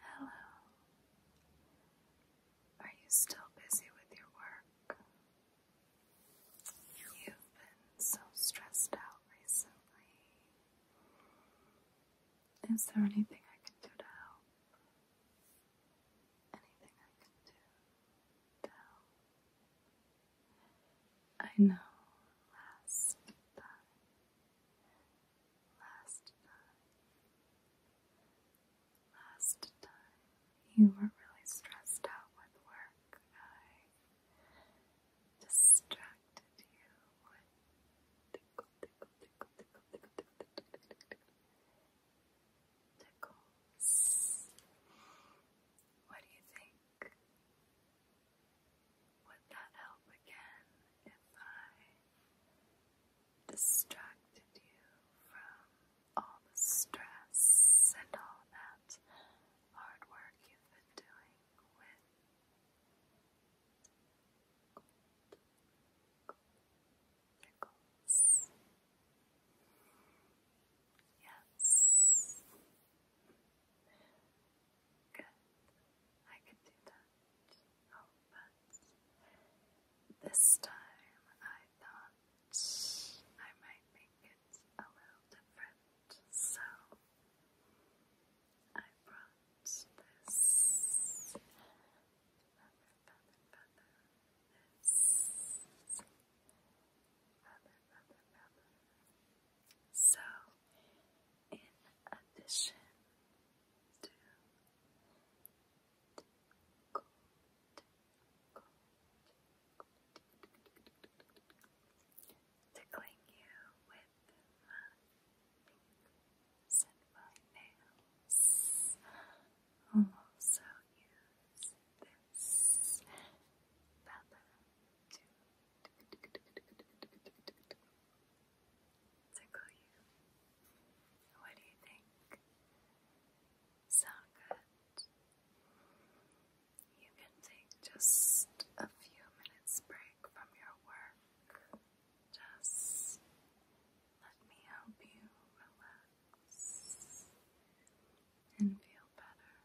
Hello. Are you still busy with your work? You've been so stressed out recently. Is there anything I can do to help? Anything I can do to help? I know last time Last time, last time you were really stressed out with work. I distracted you with tickle, tickle, tickle, tickle, tickle, tickle, tickle, tickle, tickles. What do you think? Would that help again if I distracted you from all the stress and all that hard work you've been doing with Yes. Good. I can do that. Oh, but this time I thought I might make it a little different, so I brought this feather, feather, feather, this feather, feather, feather. So, in addition still, tickling you with my fingers I'll also use this feather tickle you. What do you think? Sound good? You can take just a few minutes break from your work. Just let me help you relax and feel better. There.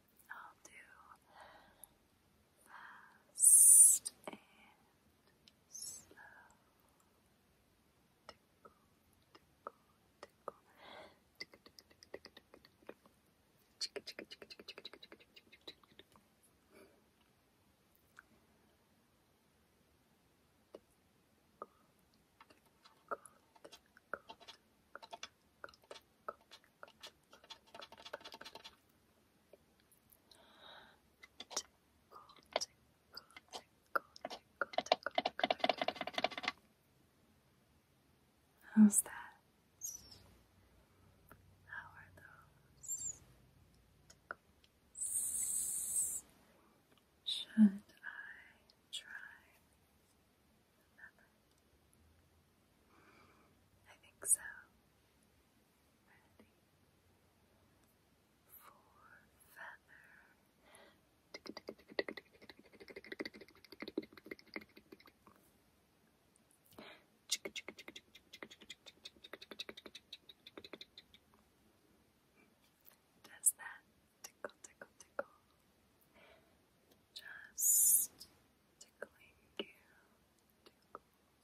I'll do fast and slow. Tickle, tickle, tickle. Tickle, tickle, tickle, tickle. Chicka, chicka, chicka, chicka, chicka, chicka, chicka, chicka, chicka, chicka. Tickle, tickle, tickle, tickle, tickle, tickle. How's that? How are those? Should I try I think so. Ready for feather. Does that tickle, tickle, tickle? Just tickling you tickle,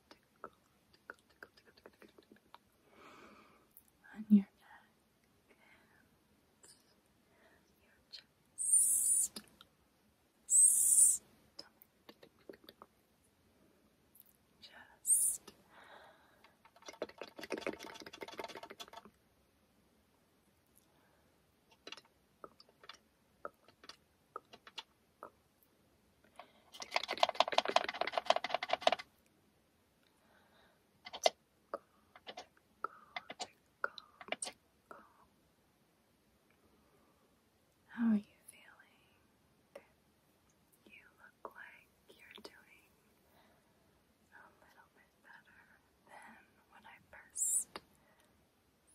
tickle, on your neck your chest, stomach, chest. How are you feeling? You look like you're doing a little bit better than when I first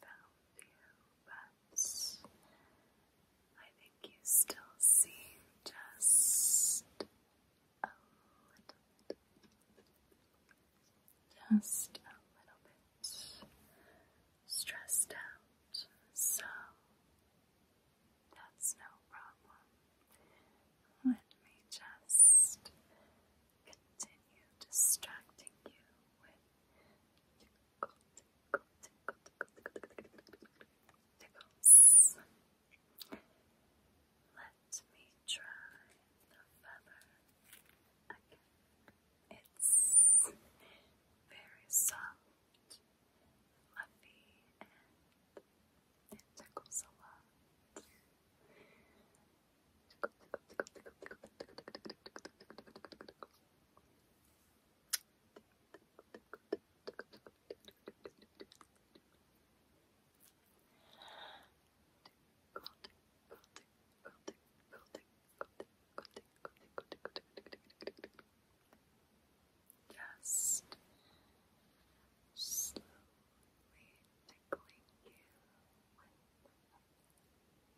found you, but I think you still seem just a little bit, just a little bit stressed out, so that's no problem. Let me just continue distracting you with Tickles. Let me try the feather It's very soft, fluffy, and tickles a lot. Just slowly tickling you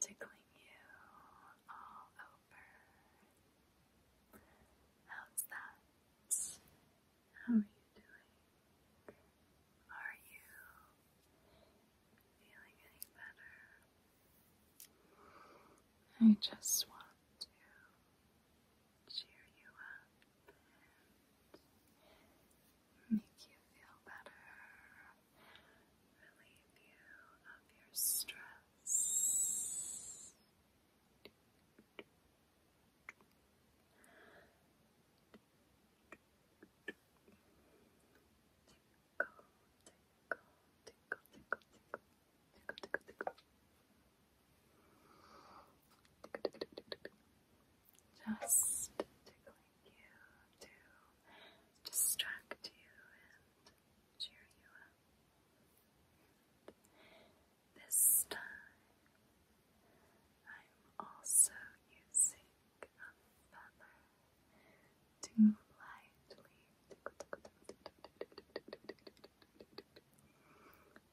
Tickling you all over. How's that? How are you doing? Are you feeling any better? I just want to cheer you up make you feel better, relieve you of your stress. tickle, tickle, tickle, tickle, tickle, tickle, tickle, tickle just tickling you to distract you and cheer you up. This time, I'm also using a to lightly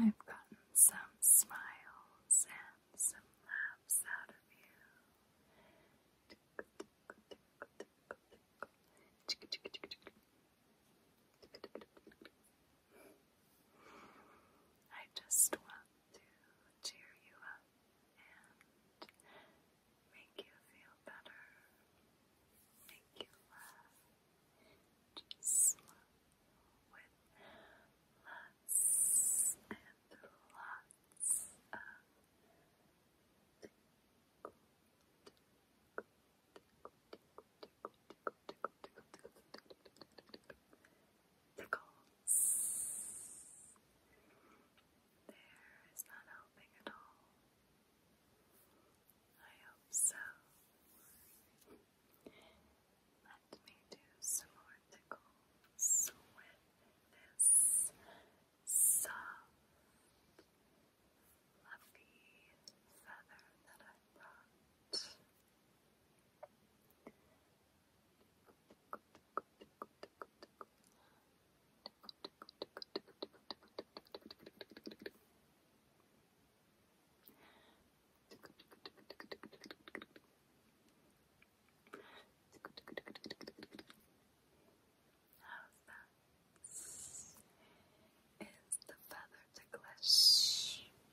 I've gotten some smiles and some laughs out of you. I just want to cheer you up and make you feel better, make you laugh, just with lots and lots of tickle, Tickles. There is not helping at all. I hope so. Let me do some more tickles with this soft, fluffy feather that I brought. How's that? Is the feather ticklish?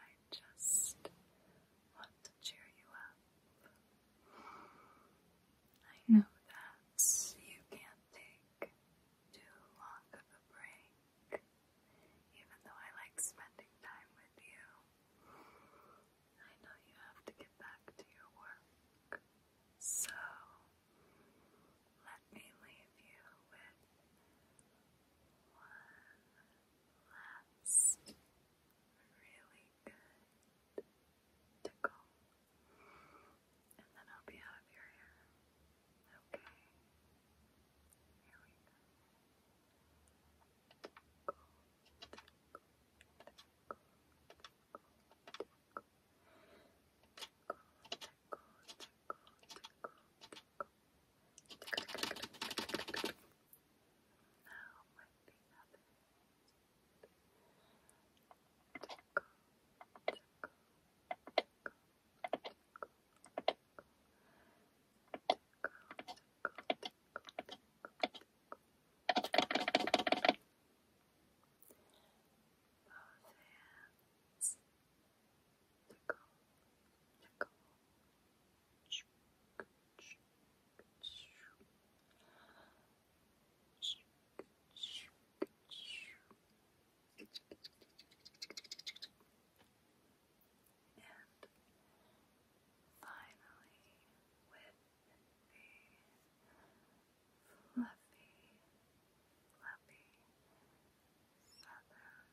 I just want to cheer you up. I hmm. know that you can't take too long of a break, even though I like spending time with you. I know you have to get back to your work, so let me leave you with last really good tickle. And then I'll be out of your Okay. Here we go. Tickle, tickle, tickle, tickle, tickle. Tickle, tickle, tickle, tickle, tickle. Now with the other hand. Tickle, tickle, tickle, tickle, tickle. Both hands tickle, tickle. And finally, with the fluffy, fluffy southern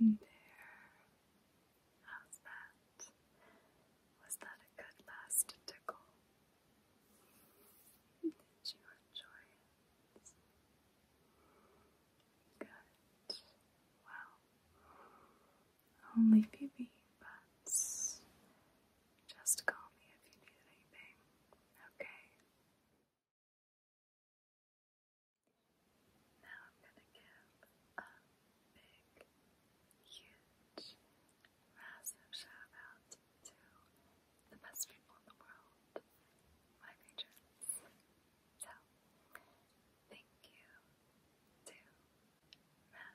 There. How's that? Was that a good last tickle? Did you enjoy it? Good. Well, only BB, but just call me if you need anything, okay? Now I'm going to give a big, huge, massive shout out to the best people in the world, my patrons. So, thank you to Matt,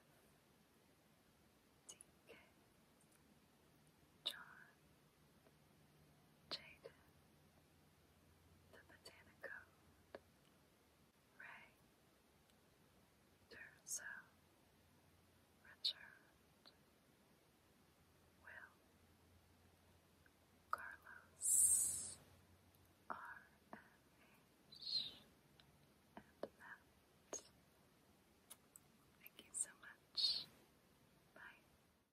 DK, John, Jada, the Botanicode, Ray, Durso, Richard, Will, Carlos, RMH, and Matt. Thank you so much. Bye.